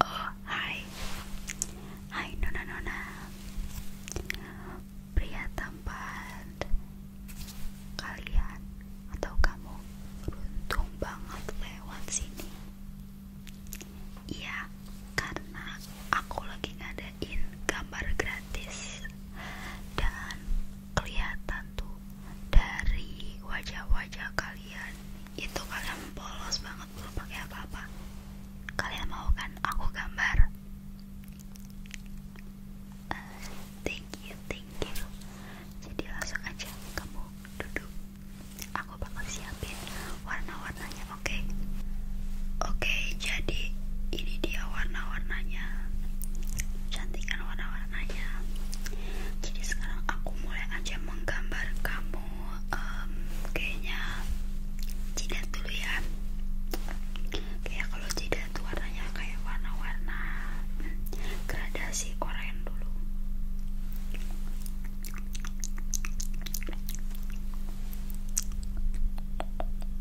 Oh, hai. Hai nona-nona. Pria tampan kalian atau kamu beruntung banget lewat sini. Iya, karena aku lagi gak in gambar gratis dan kelihatan tuh dari wajah-wajah kalian itu kalian polos banget belum pakai apa-apa kalian mau kan aku gambar eh, thank you thank you jadi langsung aja kamu duduk aku bakal siapin warna-warnanya oke oke jadi ini dia warna-warnanya cantik kan warna-warnanya jadi sekarang aku mulai aja menggambar kamu kayaknya jidat dulu ya kayak kalau jidat warnanya kayak warna-warna hmm, gradasi oranye dulu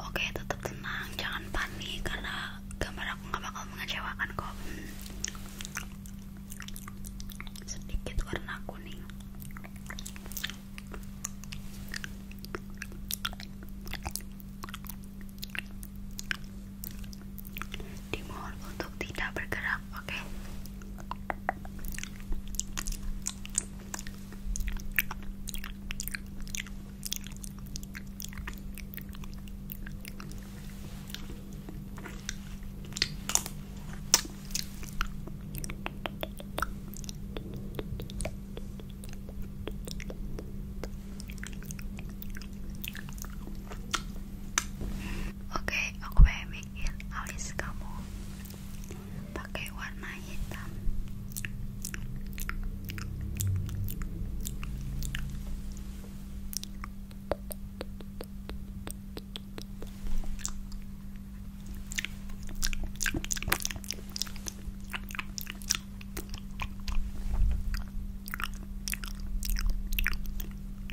Oke, tetap tenang, jangan panik karena gambar aku nggak bakal mengecewakan kau. Sedikit warna kuning. Dimohon untuk tidak bergerak, oke? Oke, aku pengen bikin alis kamu pakai warna hitam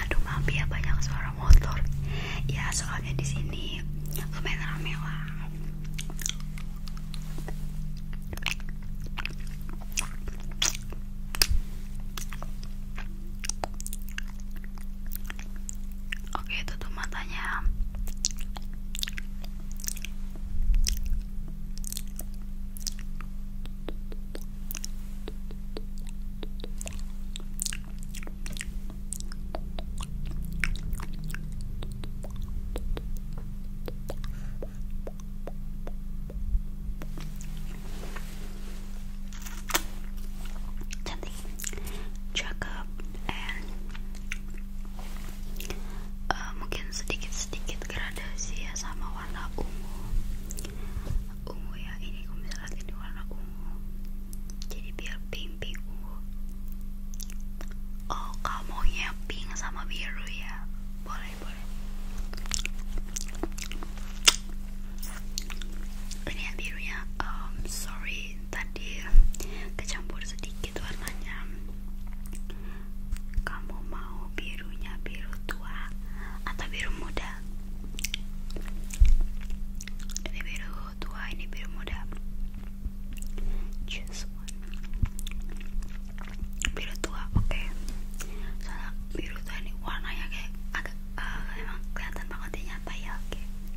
Aduh maaf ya banyak suara motor. Ya soalnya di sini lumayan rame lah. Oke, tutup matanya cakep and eh, mungkin sedikit-sedikit gradasi ya sama warna ungu ungu ya ini kumis lagi di warna ungu jadi biar pink-pink ungu oh kamu yang pink sama biru ya boleh boleh ini yang birunya um, sorry tadi kecampur sedikit warnanya kamu mau birunya biru tua atau biru muda ini biru tua ini biru muda choose biru tua oke soalnya biru tua ini warnanya kayak agak uh, emang kelihatan banget dia nyata ya oke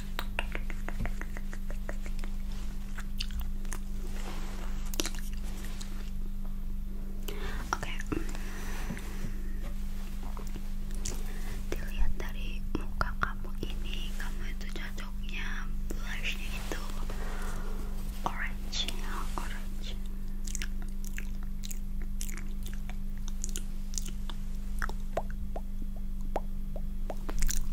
Oke, okay. dilihat dari muka kamu ini, kamu itu cocoknya blushnya itu orange, ya orange.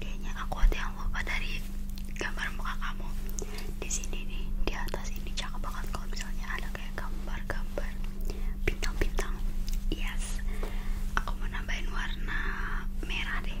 Kayaknya aku ada yang lupa dari gambar muka kamu di sini nih, di atas ini cakep banget kalau misalnya ada kayak gambar-gambar bintang-bintang yes aku mau nambahin warna merah deh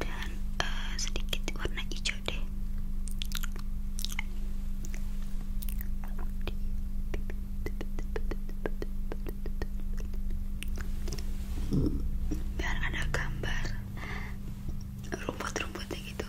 dan eh, sedikit warna hijau deh biar ada gambar rumput-rumputnya gitu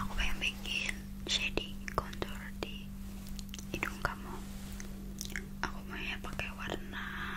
Aku pengen bikin shading contour di hidung kamu. Aku mau ya pakai warna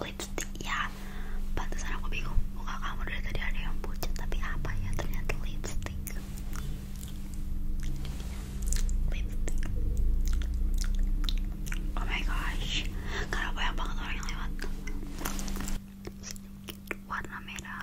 lipstick ya pantesan aku bingung muka kamu dari tadi ada yang pucat tapi apa ya ternyata lipstick lipstick oh my gosh karena banyak banget orang yang lewat sedikit warna merah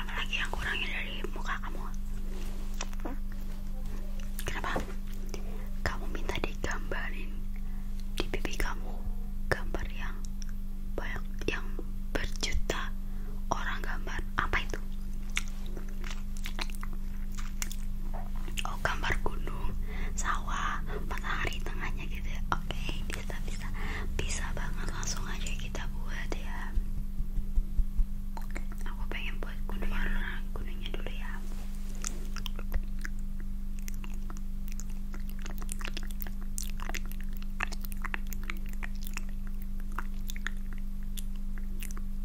Apalagi yang kurangnya dari muka kamu? Kenapa? Kamu minta digambarin di pipi kamu gambar yang banyak yang berjuta orang gambar apa itu? Oh gambar gunung, sawah, matahari tengahnya gitu ya. Oke, bisa bisa. Bisa banget langsung aja kita buat ya. Aku pengen buat gunung orang gunungnya dulu ya.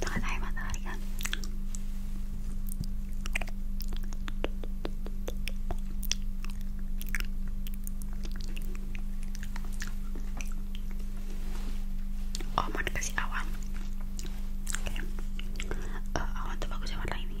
dengan air matahari kan oh mau awan awan tuh bagusnya warna ini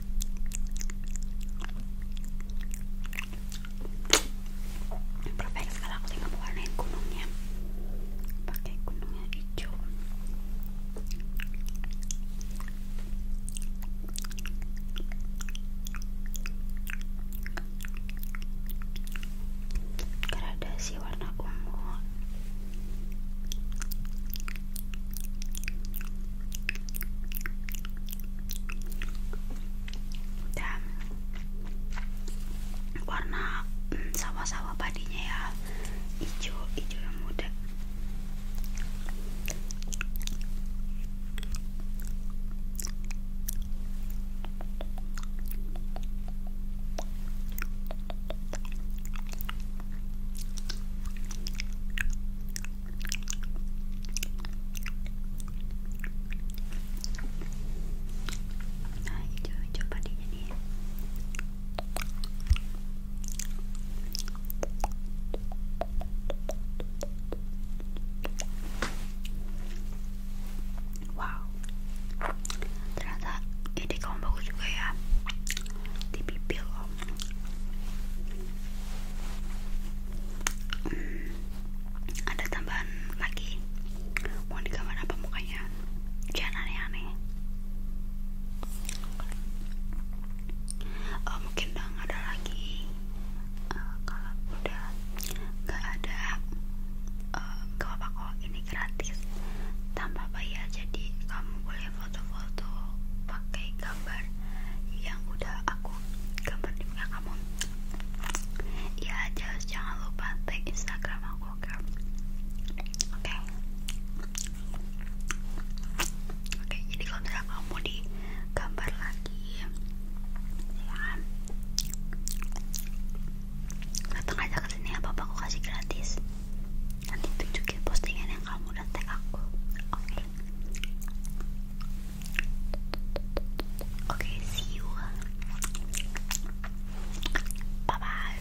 perfect sekarang aku tinggal warnain gunungnya pakai gunungnya hijau gradasi warna ungu dan warna mm, sawah-sawah padinya ya hijau-hijau yang muda nah hijau-hijau wow ternyata ini kamu bagus juga ya di bibir Hmm. ada tambahan lagi mau digambar apa mukanya jangan aneh-aneh eh, mungkin udah ada lagi eh, kalau udah gak ada uh, eh, gak apa-apa ini gratis tanpa bayar jadi kamu boleh foto-foto pakai gambar yang udah aku gambar kapan juga kamu ya just jangan lupa tag instagram aku oke oke oke jadi kalau misalnya kamu di gambar lagi ya datang aja ke sini apa aku kasih gratis nanti tunjukin postingan yang kamu udah tag aku oke Okay, see you. Bye bye.